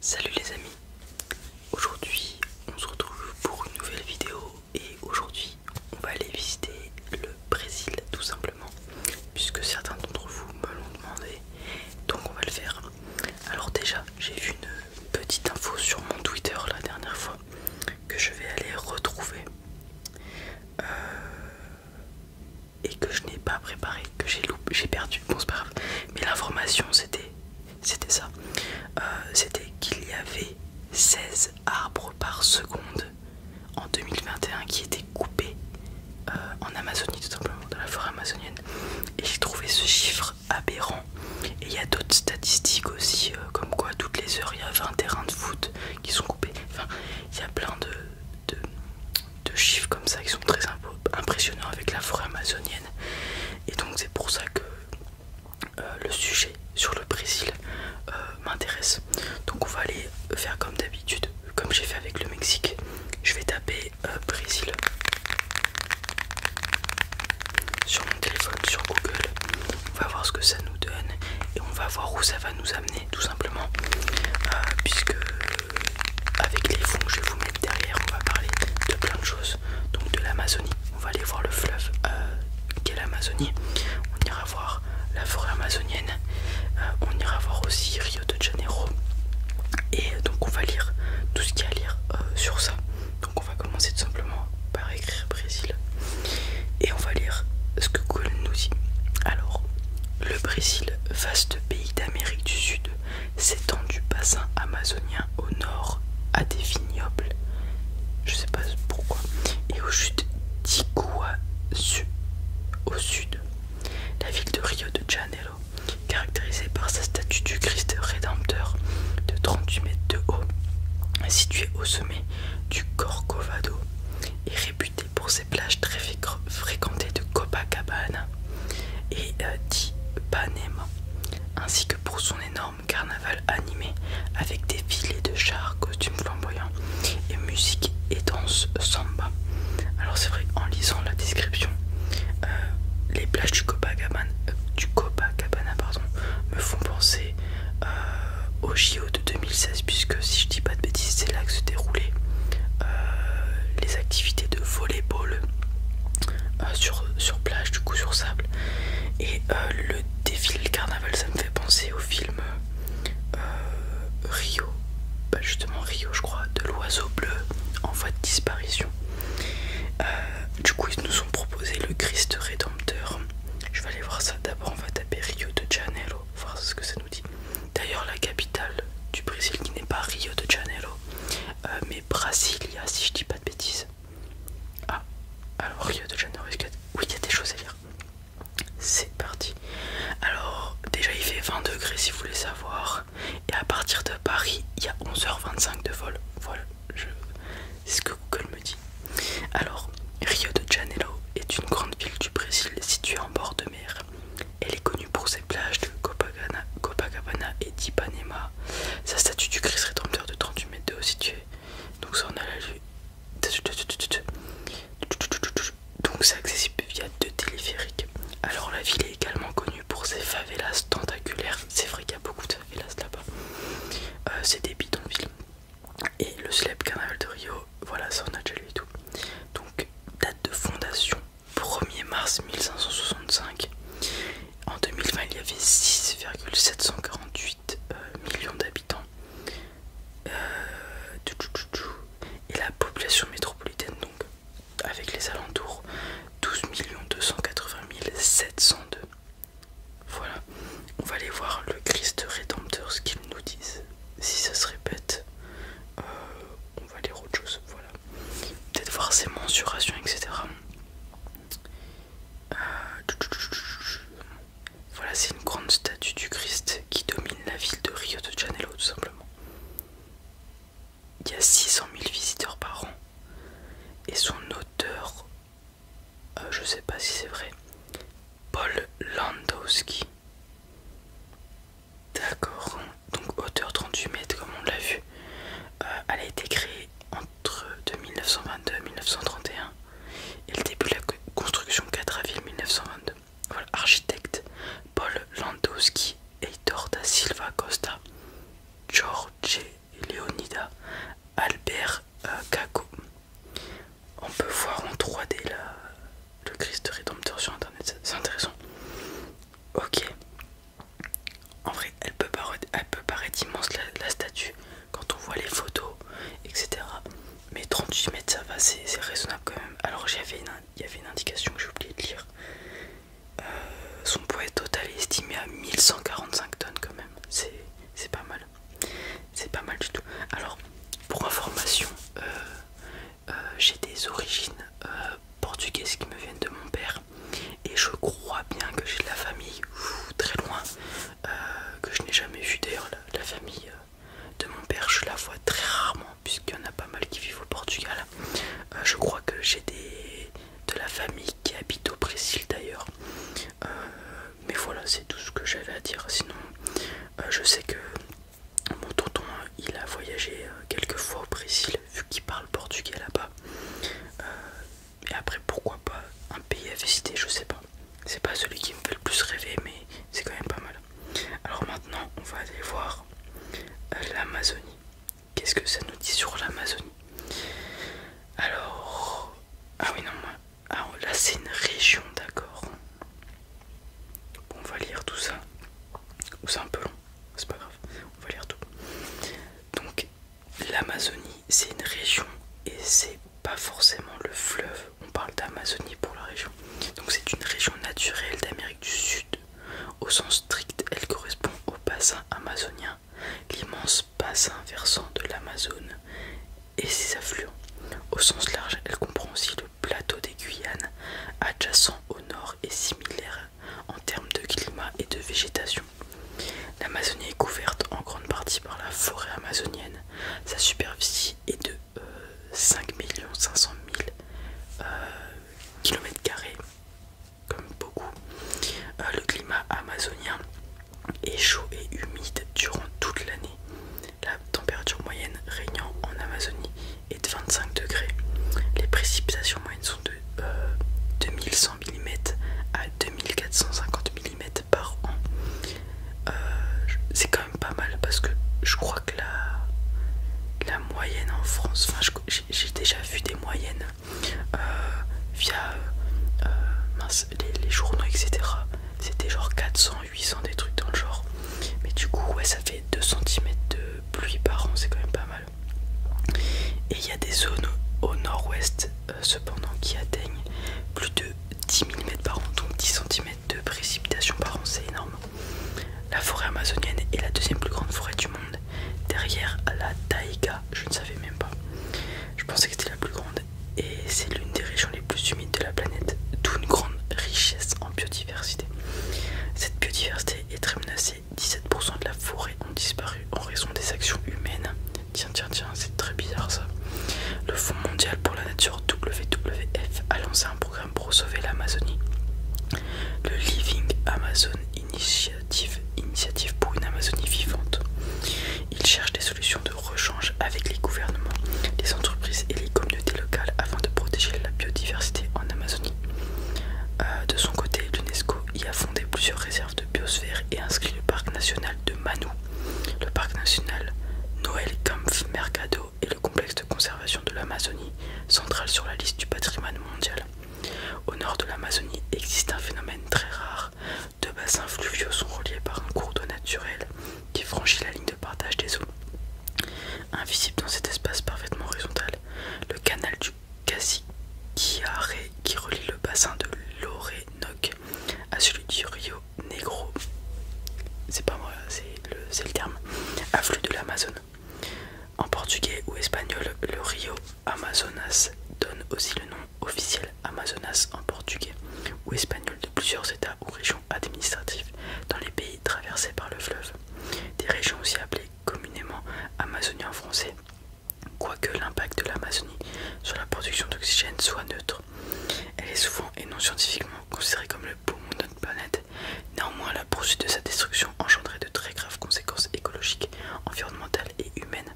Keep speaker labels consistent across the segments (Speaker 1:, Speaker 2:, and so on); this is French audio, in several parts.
Speaker 1: Salut les amis, aujourd'hui on se retrouve pour une nouvelle vidéo et aujourd'hui on va aller visiter le Brésil tout simplement puisque certains d'entre vous me l'ont demandé donc on va le faire. Alors déjà j'ai vu une petite info sur mon Twitter la dernière fois que je vais aller retrouver euh, et que je n'ai pas préparé, que j'ai perdu, bon c'est pas grave mais l'information c'était c'était ça euh, c'était qu'il y avait 16 arbres par seconde en 2021 qui étaient coupés euh, en Amazonie tout simplement dans la forêt amazonienne et j'ai trouvé ce chiffre aberrant et il y a d'autres statistiques aussi euh, comme quoi toutes les heures il y a 20 terrains de foot qui sont coupés enfin il y a plein de, de chiffres comme ça qui sont très impressionnants avec la forêt amazonienne. Et donc c'est pour ça que euh, le sujet sur le Brésil euh, m'intéresse. Donc on va aller faire comme d'habitude, comme j'ai fait avec le Mexique. Je vais taper euh, Brésil sur mon téléphone, sur Google. On va voir ce que ça nous donne et on va voir où ça va nous amener tout simplement. puisque avec les fonds que je vais vous mettre derrière, on va parler de plein de choses. Donc de l'Amazonie, on va aller voir le fleuve euh, qu'est l'Amazonie. On ira voir la forêt amazonienne. Euh, on ira voir aussi Rio de Janeiro. Et donc on va lire tout ce qu'il y a à lire euh, sur ça. Donc on va commencer tout simplement par écrire Brésil. Et on va lire ce que Google nous dit. Alors, le Brésil, vaste pays d'Amérique du Sud, s'étend du bassin amazonien au nord à des vignobles, je sais pas pourquoi, et aux chutes d'Iguazu au sud. La ville de Rio de Janeiro, caractérisée par sa statue du Christ rédempteur de 38 mètres de haut, située au sommet du Corcovado et réputée pour ses plages très fréquentées de Copacabana et dit euh, d'Ipanema, ainsi que pour son énorme carnaval animé avec des filets de chars, costumes flamboyants et musique et danse samba. Alors c'est vrai, en lisant la description, euh, les plages du Copacabana, me font penser euh, au JO de 2016 puisque si je dis pas de bêtises, c'est là que se déroulaient les activités de volley-ball. Euh, sur, sur plage, du coup sur sable. Et euh, le défilé carnaval, ça me fait penser au film euh, Rio, bah, justement Rio, je crois, de l'oiseau bleu en voie de disparition. du coup, ils nous ont proposé le Christ Rédempteur. Je vais aller voir ça d'abord. On va taper Rio de Janeiro, voir ce que ça nous dit. D'ailleurs, la capitale du Brésil qui n'est pas Rio de Janeiro, Brasilia, si je dis pas de bêtises. Ah, alors Rio de Janeiro, oui, il y a des choses à lire. C'est parti. Alors, déjà il fait 20 degrés si vous voulez savoir. Et à partir de Paris, il y a 11h25 de vol. Voilà, c'est ce que Google me dit. Alors, Rio de Janeiro est une grande ville du Brésil située en bord de mer. Elle est connue pour ses plage de Copacabana, et d'Ipanema. Sa statue du Christ rédempteur de 38 mètres de haut situé Donc ça on a la Donc c'est accessible via deux téléphériques. Alors la ville est également connue pour ses favelas tentaculaires. C'est vrai qu'il y a beaucoup de favelas là-bas. Euh, c'est des bidonvilles. Et le célèbre canal de Rio, voilà ça on a déjà lu et tout. Donc date de fondation 1er mars 1565. En 2020, il y avait 6,748 euh, millions d'habitants. Euh, et la population métropolitaine, donc, avec les alentours, 12 280 702. Voilà, on va aller voir le Christ Rédempteur, ce qu'ils nous disent. Si ça se répète, euh, on va lire autre chose. Voilà, peut-être voir ses mensurations, etc. Euh, voilà, c'est une grande statue du Christ qui domine la ville de Rio de Janeiro, tout simplement. Il y a 600 000 visiteurs par an et son auteur, je euh, je sais pas si c'est vrai, Paul Landowski. D'accord donc hauteur 38 mètres comme on l'a vu. Euh, elle a été créée entre 1922 et 1931 et le début de la construction 4 avril 1922. Voilà, architecte Paul Landowski, Heitor da Silva Costa, George Leonida, Albert euh, Cago. On peut voir en 3D la, le Christ rédempteur sur internet, c'est intéressant. Ok, en vrai, elle peut paraître, immense la, statue quand on voit les photos, etc. Mais 38 mètres, ça va, c'est raisonnable quand même. Alors, il y avait une indication que j'ai oublié de lire. Euh, son poids total est estimé à 1145 tonnes quand même. C'est pas mal. C'est pas mal du tout. Alors, pour information, euh, euh, j'ai des origines portugaises qui me viennent de mon père et je crois bien que j'ai de la famille très loin euh, que je n'ai jamais vu d'ailleurs la, famille euh, de mon père je la vois très rarement puisqu'il y en a pas mal qui vivent au Portugal euh, je crois que j'ai des de la famille qui habite au Brésil d'ailleurs mais voilà c'est tout ce que j'avais à dire sinon je sais que mon tonton il a voyagé quelques fois au Brésil vu qu'ils parlent portugais là-bas. Euh, et après, pourquoi pas un pays à visiter, je sais pas. C'est pas celui qui me fait le plus rêver, mais c'est quand même pas mal. Alors maintenant, on va aller voir euh, l'Amazonie. Qu'est-ce que ça nous dit sur l'Amazonie Alors, ah oui non, ah là c'est une région, d'accord. Bon, on va lire tout ça. Ou c'est un peu long, c'est pas grave. On va lire tout. Donc l'Amazonie c'est une région et c'est pas forcément le fleuve. On parle d'Amazonie pour la région. Donc c'est une région naturelle d'Amérique du Sud. Au sens strict, elle correspond au bassin amazonien, l'immense bassin versant de l'Amazone et ses affluents. Au sens large, elle comprend aussi le plateau des Guyanes, adjacent au nord et similaire en termes de climat et de végétation. L'Amazonie est couverte en grande partie par la forêt amazonienne. Sa superficie est de 5 500 000 km2. comme beaucoup. Euh, le climat amazonien est chaud et humide durant toute l'année. La température moyenne régnant en Amazonie est de 25 degrés. Les précipitations moyennes sont de 2100 euh, à 2450 mm par an. Euh, c'est quand même pas mal parce que je crois que la, la moyenne en France, enfin j'ai déjà vu des moyennes euh, via euh, les, les journaux, etc. C'était genre 400, 800, des trucs dans le genre. Mais du coup, ouais, ça fait 2 cm de pluie par an, c'est quand même pas mal. Et il y a des zones au nord-ouest euh, cependant qui atteignent plus de 10 mm par an, donc 10 cm de précipitation par an, c'est énorme. La forêt amazonienne est la deuxième plus grande forêt du monde, derrière la taïga, je ne savais même pas. Je pensais que c'était la plus grande et c'est l'une des régions les plus humides de la planète, d'où une grande richesse en biodiversité. Cette biodiversité est très menacée 17% de la forêt ont disparu en raison des actions humaines. Tiens, tiens, tiens, c'est très bizarre ça. Le Fonds mondial pour la nature WWF a lancé un programme pour sauver l'Amazonie. Le Living Amazon Initiative, initiative pour une Amazonie vivante. Il cherche des solutions de rechange avec les gouvernements, les entreprises et les communautés locales afin de protéger la biodiversité en Amazonie. Euh, de son côté, l'UNESCO y a fondé plusieurs réserves biosphère et inscrit le parc national de manu le parc national Noël Kampf Mercado et le complexe de conservation de l'Amazonie central sur la liste du patrimoine mondial. Au nord de l'Amazonie existe un phénomène très rare. Deux bassins fluviaux sont reliés par un cours d'eau naturel qui franchit la ligne de partage des eaux. Invisible dans cet espace parfaitement horizontal, le canal du Casiquiare qui relie le bassin de l'Orénoque à celui du Rio Negro. C'est pas moi, c'est le, terme. Afflux de l'Amazone. En portugais ou espagnol, le Rio Amazonas donne aussi le nom officiel Amazonas en portugais ou espagnol de plusieurs États ou régions administratives dans les pays traversés par le fleuve. Des régions aussi appelées communément Amazonien français quoique l'impact de l'Amazonie sur la production d'oxygène soit neutre. Elle est souvent et non scientifiquement considérée comme le poumon de notre planète. Néanmoins, la poursuite de sa destruction engendrait de très graves conséquences écologiques, environnementales et humaines,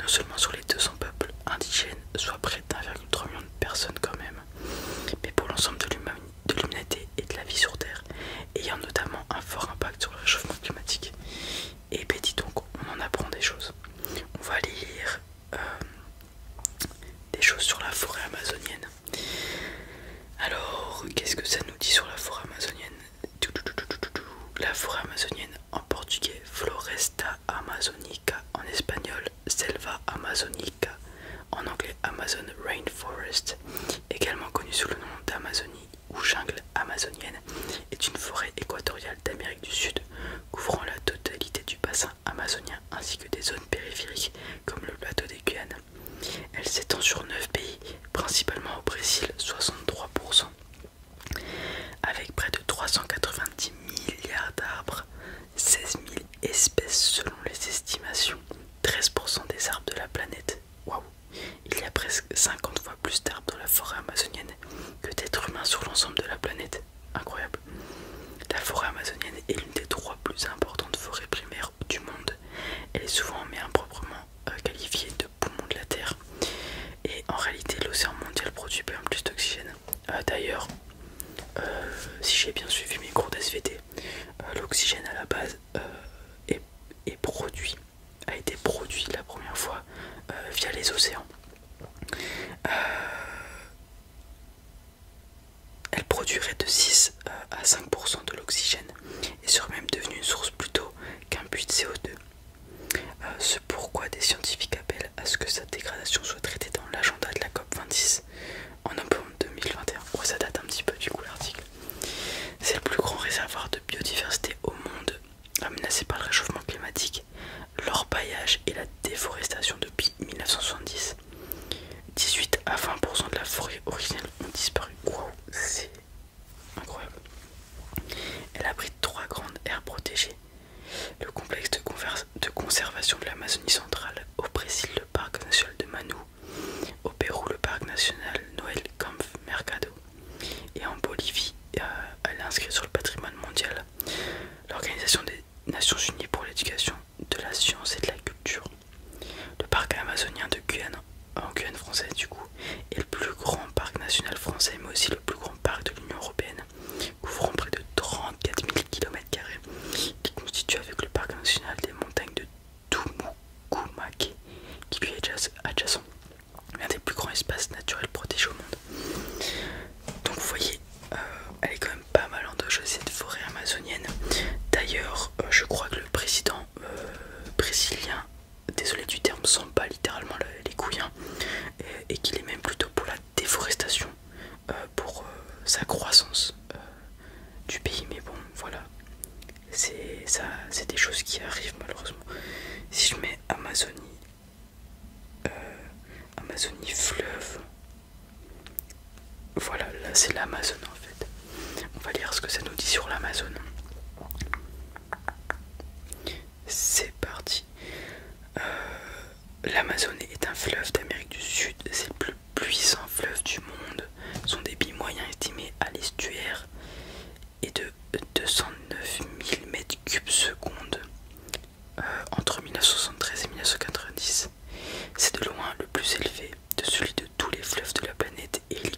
Speaker 1: non seulement sur les 200 peuples indigènes, soit près 1,3 million de personnes quand même, mais pour l'ensemble de l'humanité et de la vie sur Terre, ayant notamment un fort impact sur le réchauffement climatique. Et ben dis donc, on en apprend des choses. On va lire euh, des choses sur la forêt amazonienne. Alors, qu'est-ce que ça nous dit sur la forêt amazonienne La forêt amazonienne en portugais, Floresta Amazonica, en espagnol, Selva Amazonica, en anglais, Amazon Rainforest, également connu sous le nom d'Amazonie ou jungle amazonienne est une forêt équatoriale d'Amérique du Sud couvrant la totalité du bassin amazonien ainsi que des zones périphériques comme le plateau des Guyanes. Elle s'étend sur 9 pays, principalement au Brésil 63%, avec près de 390 milliards d'arbres, 16 000 espèces selon les estimations, 13% des arbres de la planète, Waouh Il y a presque 50 fois plus d'arbres dans la forêt amazonienne que d'êtres humains sur l'ensemble de la planète. Incroyable. La forêt amazonienne est l'une des trois plus importantes forêts primaires du monde. Elle est souvent mais improprement euh, qualifiée de poumon de la Terre. Et en réalité, l'océan mondial produit bien plus d'oxygène. Euh, d'ailleurs, euh, si j'ai bien suivi mes cours d'SVT, l'oxygène à la base est produit a été produit la première fois euh, via les océans. Euh, elle produirait de 6 euh, à 5% de l'oxygène et serait même devenue une source plutôt qu'un puits de CO2. Ce C'est pourquoi des scientifiques appellent à ce que sa dégradation soit traitée dans l'agenda de la COP26 en novembre 2021. ça date un petit peu du coup l'article. C'est le plus grand réservoir de biodiversité au monde menacée par le réchauffement climatique, l'orpaillage et la déforestation depuis 1970. 18 à 20% de la forêt originelle ont disparu. Wow, c'est incroyable. Elle abrite trois grandes aires protégées. Le complexe de, conservation de l'Amazonie centrale, au Brésil le parc national de Manu, au Pérou le parc national Noël Kampf Mercado, et en Bolivie, euh, elle est inscrite sur le patrimoine mondial, l'Organisation des Nations Unies pour l'éducation, de la science et de la culture. Le parc amazonien de Guyane, en Guyane française du coup, est le plus grand parc national français, mais aussi le plus grand parc de l'Union Européenne, couvrant près de 34 000 km, qui constitue avec le parc national des montagnes de Tumukumake, qui lui est adjacent un des plus grands espaces naturels protégés au monde. Donc vous voyez, euh, elle est quand même pas mal endommagée cette forêt amazonienne. D'ailleurs, euh, je crois que le président euh, brésilien, désolé du terme, sent pas littéralement les couilles et, qu'il est même plutôt pour la déforestation, pour sa croissance du pays. Mais bon, voilà, c'est des choses qui arrivent malheureusement. Si je mets Amazonie, euh, Amazonie fleuve. Voilà, là c'est l'Amazon en fait. On va lire ce que ça nous dit sur l'Amazonie. C'est parti. Euh, L'Amazonie est un fleuve d'Amérique du Sud. C'est le plus puissant fleuve du monde. Son débit moyen estimé à l'estuaire et de 209 000 mètres cubes secondes euh, entre 1973 et 1990. C'est de loin le plus élevé de celui de tous les fleuves de la planète et il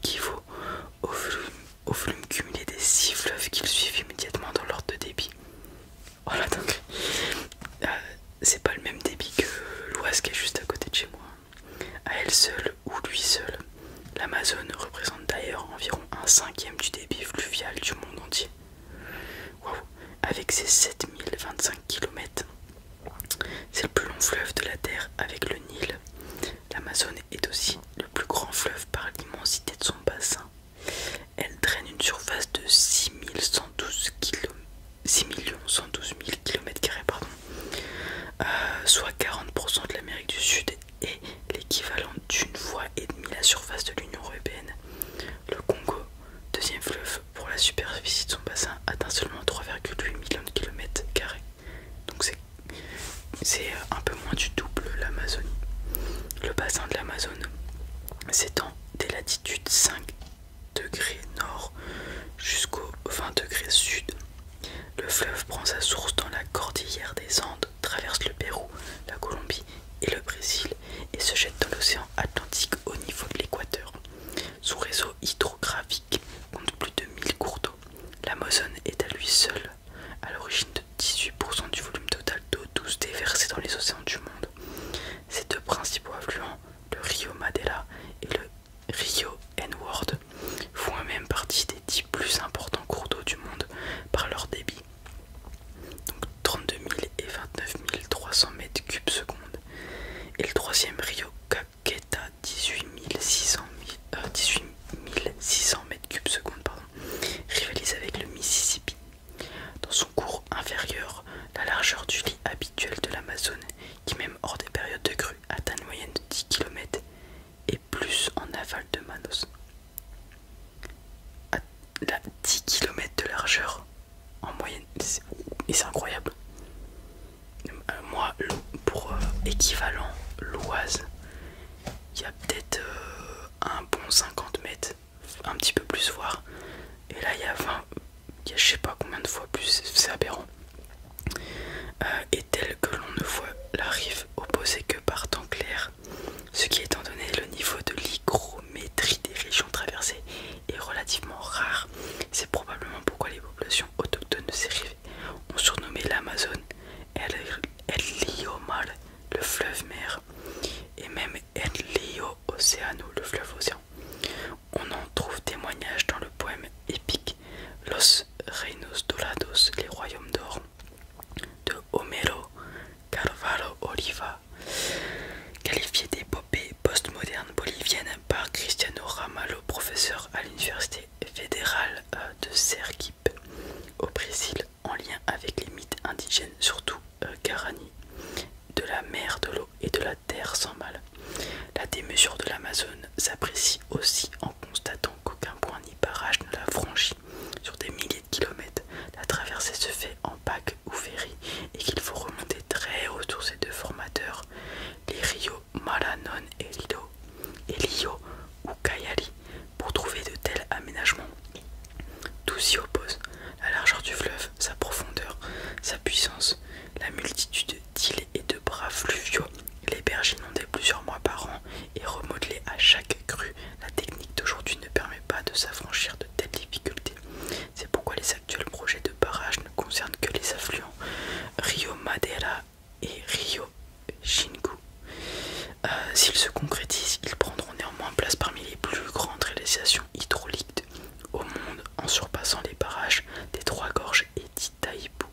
Speaker 1: au volume, au cumulé des 6 fleuves qu'ils suivent immédiatement dans l'ordre de débit. Voilà donc, euh, c'est pas le même débit que l'Oise qui est juste à côté de chez moi. À elle seule, ou lui seul. L'Amazone représente d'ailleurs environ un cinquième du débit fluvial du monde entier. Avec ses 7025 km, c'est le plus long fleuve de la Terre avec le Nil. L'Amazone est aussi le plus grand fleuve par l'immensité de son bassin. Elle traîne une surface de 6 112 000 km, soit 40% de l'Amérique du Sud est l'équivalent d'une fois et demie la surface de l'Union européenne. Le Congo, deuxième fleuve pour la superficie de son bassin, atteint seulement 3,8 millions de kilomètres carrés. Donc c'est euh, un peu moins du double l'Amazonie. Le bassin de l'Amazone s'étend des latitudes 5 degrés nord jusqu'au 20 degrés sud. Le fleuve prend sa source dans la cordillère des Andes traverse le Pérou, la Colombie et le Brésil et se jette dans l'océan Atlantique au niveau de l'équateur. Son réseau hydrographique compte plus de 1000 cours d'eau. L'Amazone est à lui seul à l'origine de 18% du volume total d'eau douce déversée dans les océans du monde. Ses deux principaux affluents, le Rio Madela et le Rio Enward, font eux partie des plus importants cours d'eau du monde par leur débit. Donc 32 000 et 29 300 mètres cubes secondes. Et le troisième Rio Caqueta, 18 600 euh, mètres cubes secondes, rivalise avec le Mississippi. Dans son cours inférieur, la largeur du lit habituel de l'Amazone, qui même hors des périodes de crue atteint une moyenne de 10 km, et plus en aval de Manos. À 10 km de largeur en moyenne, et c'est incroyable. Euh, moi, pour euh, équivalent l'Oise, il y a peut-être euh, un bon 50 mètres, un petit peu plus, voir. Et là, il y a 20, il je sais pas combien de fois plus, c'est aberrant. et tel que l'on ne voit la rive opposée que par temps clair ce qui étant donné le niveau de l'hygrométrie des régions traversées est relativement rare. C'est probablement pourquoi les populations autochtones de ces rives ont surnommé l'Amazone El, lio Mal, le fleuve mer, et même El Lio Océano, le fleuve océan. On en trouve témoignage dans le poème épique Los Reinos Dorados, les royaumes d'or, Homero Carvalho Oliva, qualifié d'épopée postmoderne bolivienne par Cristiano Ramalho, professeur à l'université fédérale euh, de Sergipe au Brésil, en lien avec les mythes indigènes, surtout euh, garani, de la mer, de l'eau et de la terre sans mal. La démesure de l'Amazone s'apprécie aussi en constatant qu'aucun point ni barrage ne la franchit sur des milliers de kilomètres. La traversée se fait en pack ou ferry et qu'il faut remonter très haut sur ces deux formateurs, les rios Malanon et Lido, et ou Kayali, pour trouver de tels aménagements. Tout s'y oppose, la largeur du fleuve, sa profondeur, sa puissance, la multitude d'îles et de bras fluviaux. Les berges inondées plusieurs mois par an et remodelées à chaque la technique d'aujourd'hui ne permet pas de s'affranchir de telles difficultés. C'est pourquoi les actuels projets de barrage ne concernent que les affluents Rio Madeira et Rio Xingu. Euh, s'ils se concrétisent, ils prendront néanmoins place parmi les plus grandes réalisations hydrauliques au monde en surpassant les barrages des Trois Gorges et d'Itaipu.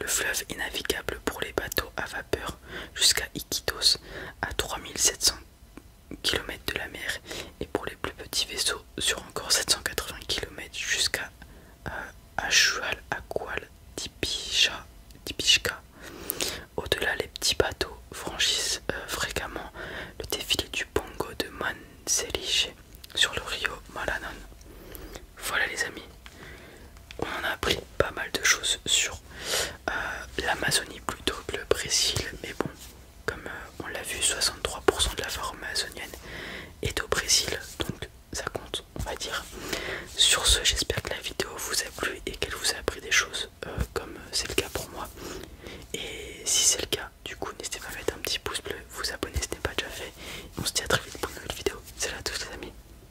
Speaker 1: Le fleuve est navigable pour les bateaux à vapeur jusqu'à Iquitos, à 3700 km de la mer, et pour les plus petits vaisseaux sur encore 780 km jusqu'à Achual, euh, Aqual, Au-delà, les petits bateaux franchissent euh, fréquemment le défilé du Pongo de Manzeliche sur le Rio Malanon. Voilà les amis, on a appris pas mal de choses sur euh, l'Amazonie plutôt que le Brésil, mais bon, comme euh, on l'a vu, 63% de la forêt amazonienne est au Brésil, donc ça compte, on va dire. Sur ce, j'espère que la vidéo vous a plu et qu'elle vous a appris des choses, euh, comme c'est le cas pour moi. Et si c'est le cas, du coup, n'hésitez pas à mettre un petit pouce bleu, vous abonner si ce n'est pas déjà fait. On se dit à très vite pour une nouvelle vidéo. Salut à tous les amis.